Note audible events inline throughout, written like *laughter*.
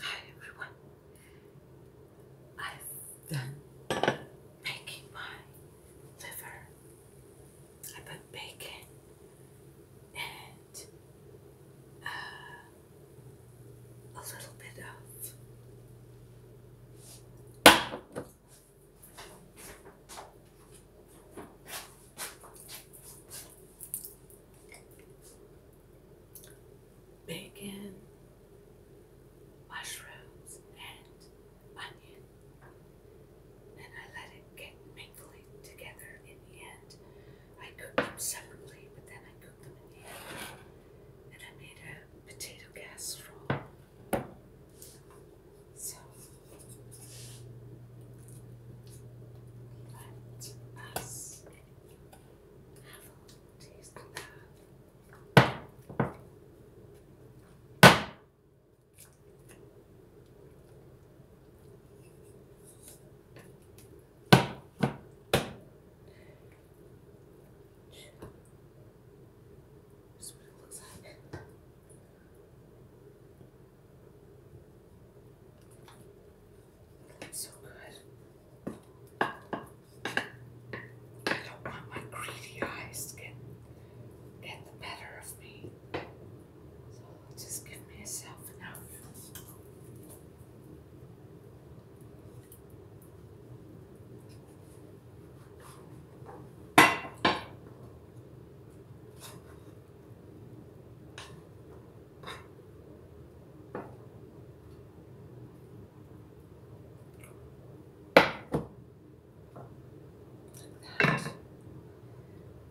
Hi everyone. I've done making my liver. I put bacon and a little bit of bacon, mushrooms, and onion. And I let it get mingling together in the end. I cooked them separately, but then I cooked them in the end. And I made a potato casserole. So, let us have a taste of that. This is what it looks like so good. I don't want my greedy eyes to get, get the better of me. So I'll just give myself enough.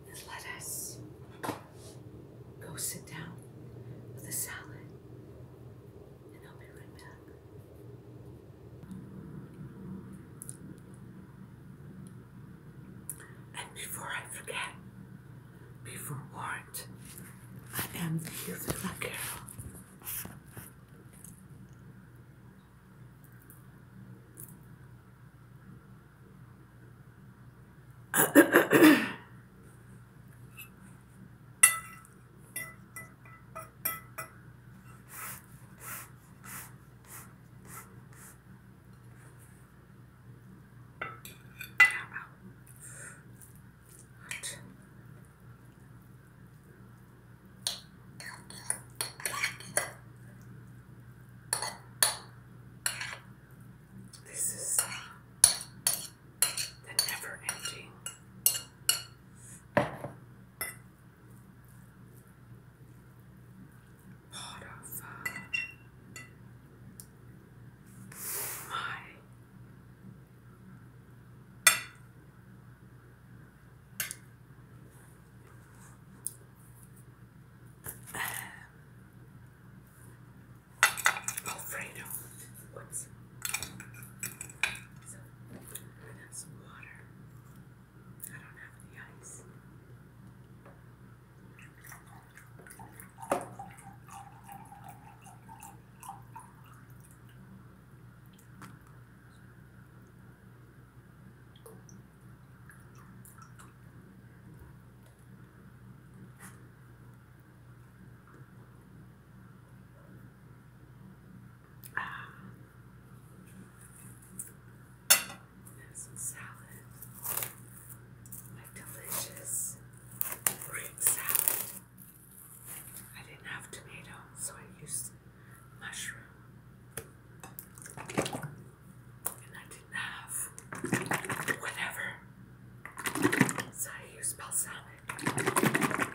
And let us go sit down with a salad, and I'll be right back. And before I forget, be forewarned. I am the youth of that girl. How about This is the never ending part of uh, my Alfredo. Whoops. So, I have some water. I don't have any ice. Ah. Some salad delicious root salad. I didn't have tomato, so I used mushroom. And I didn't have whatever, so I used balsamic.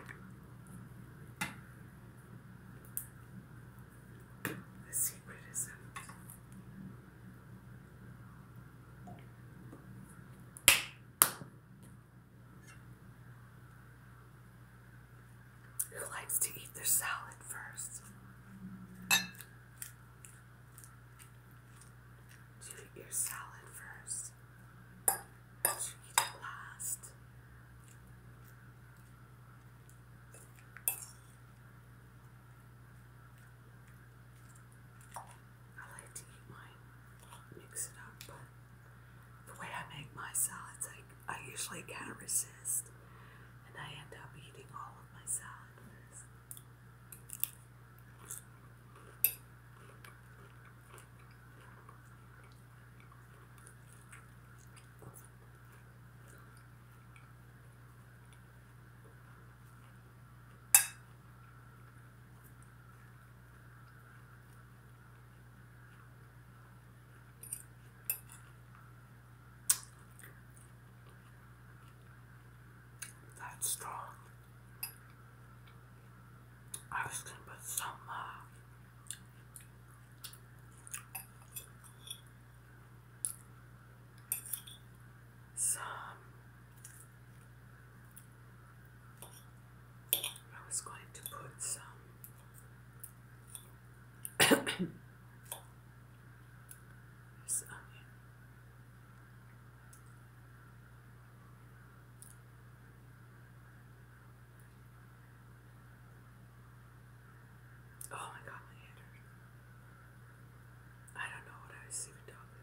The secret is out. Who likes to eat their salad first? Do your salad first? Do it last? I like to eat mine, mix it up, but the way I make my salads, I, I usually can't resist, and I end up eating all of my salad that's strong. I was gonna put some uh, some I was going to put some Oh my god, I don't know what I was even talking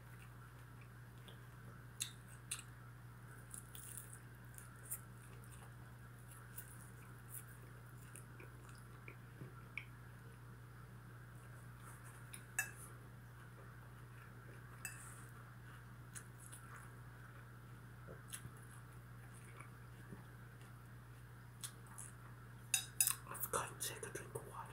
I've got to take a drink of water.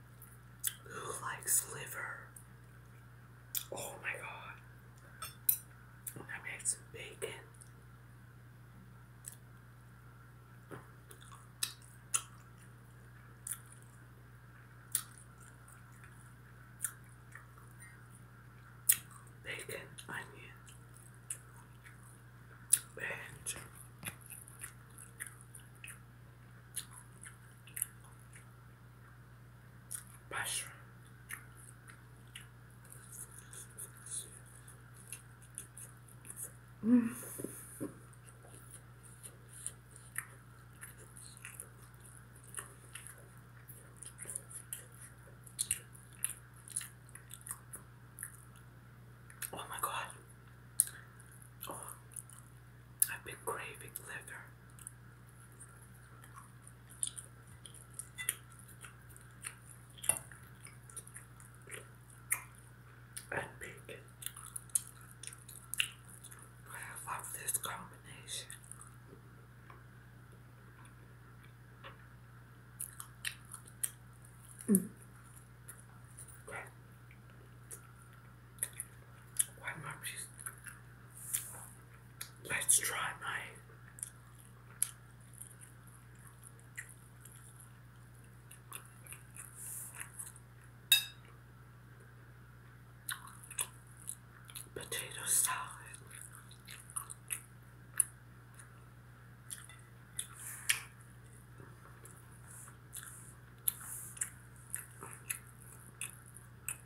Who likes liver? Oh my god. I'm some bacon. Bacon, onion, and Mushroom. Oh my god. Oh. I've been craving liver. And bacon. I love this combination. Mm let's try my potato salad.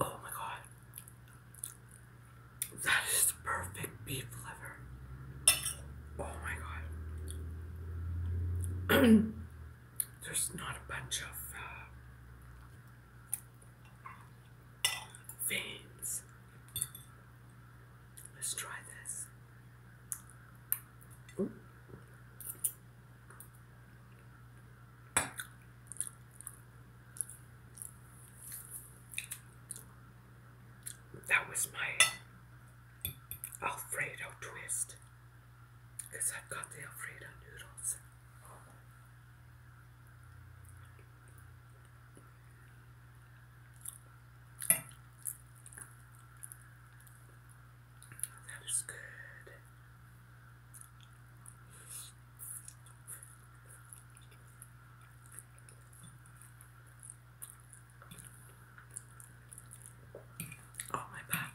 Oh my god. That is the perfect beef liver. Oh my god. *clears throat* There's not a bunch of uh, veins. Let's try this. That was my Alfredo twist. I've got the Alfredo noodles. That is good. Oh, my back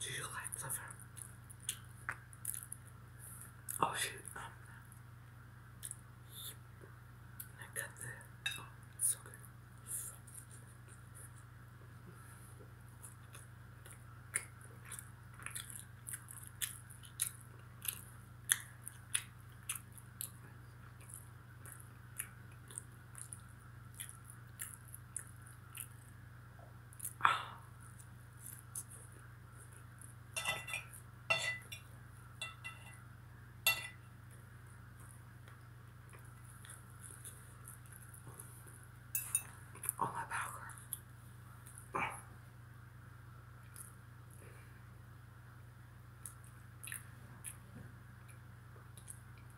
Do you like liver? Oh shoot, um, I got the, oh, so good. Oh. All about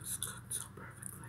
It's cooked so perfectly.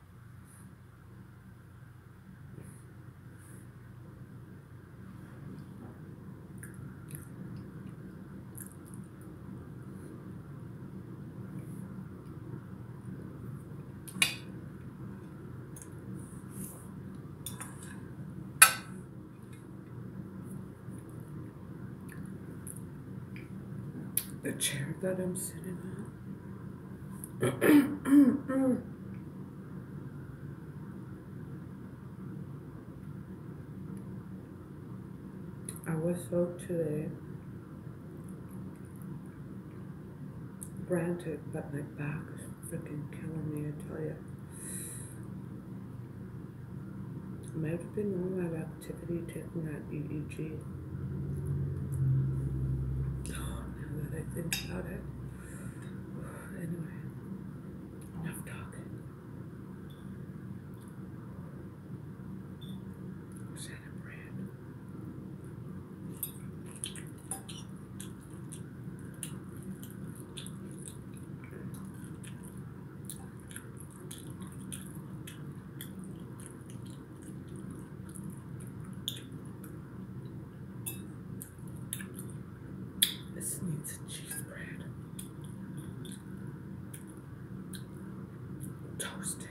the chair that I'm sitting on. I was soaked today, granted, but my back is freaking killing me, I tell you. Might have been all that activity taking at BBG. Oh, now that I think about it. Anyway, enough talking. Santa Brand. This needs a cheese bread. Toasted.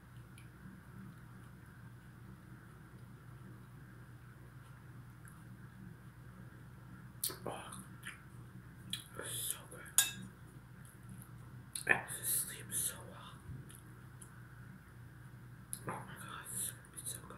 Oh, so good. I also sleep so well. Oh my god, it's so good.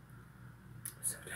I'm so tired.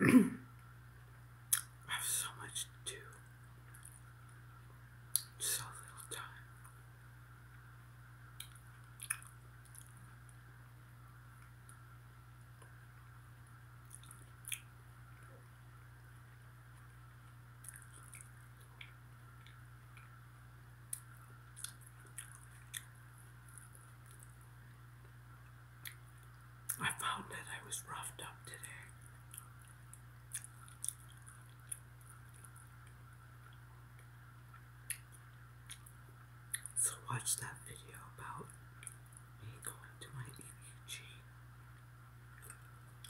I have so much to so little time. I found that I was roughed up today. So, watch that video about me going to my EEG.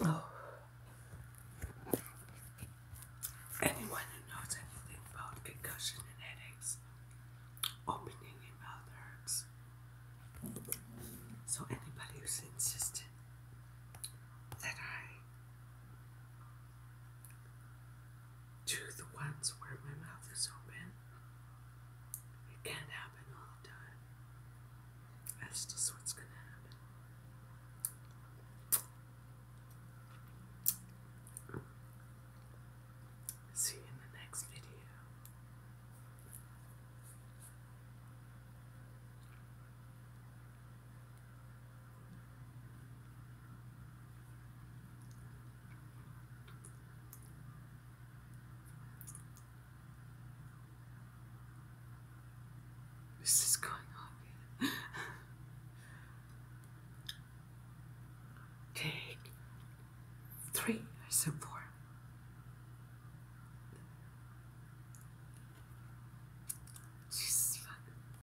Oh. Anyone who knows anything about concussion and headaches, opening your mouth hurts. So anybody who's insistent that I to the ones where my mouth is open. It can't happen all the time. That's just what's gonna happen. See you in the next video. This is going on. Take three, I suppose. She's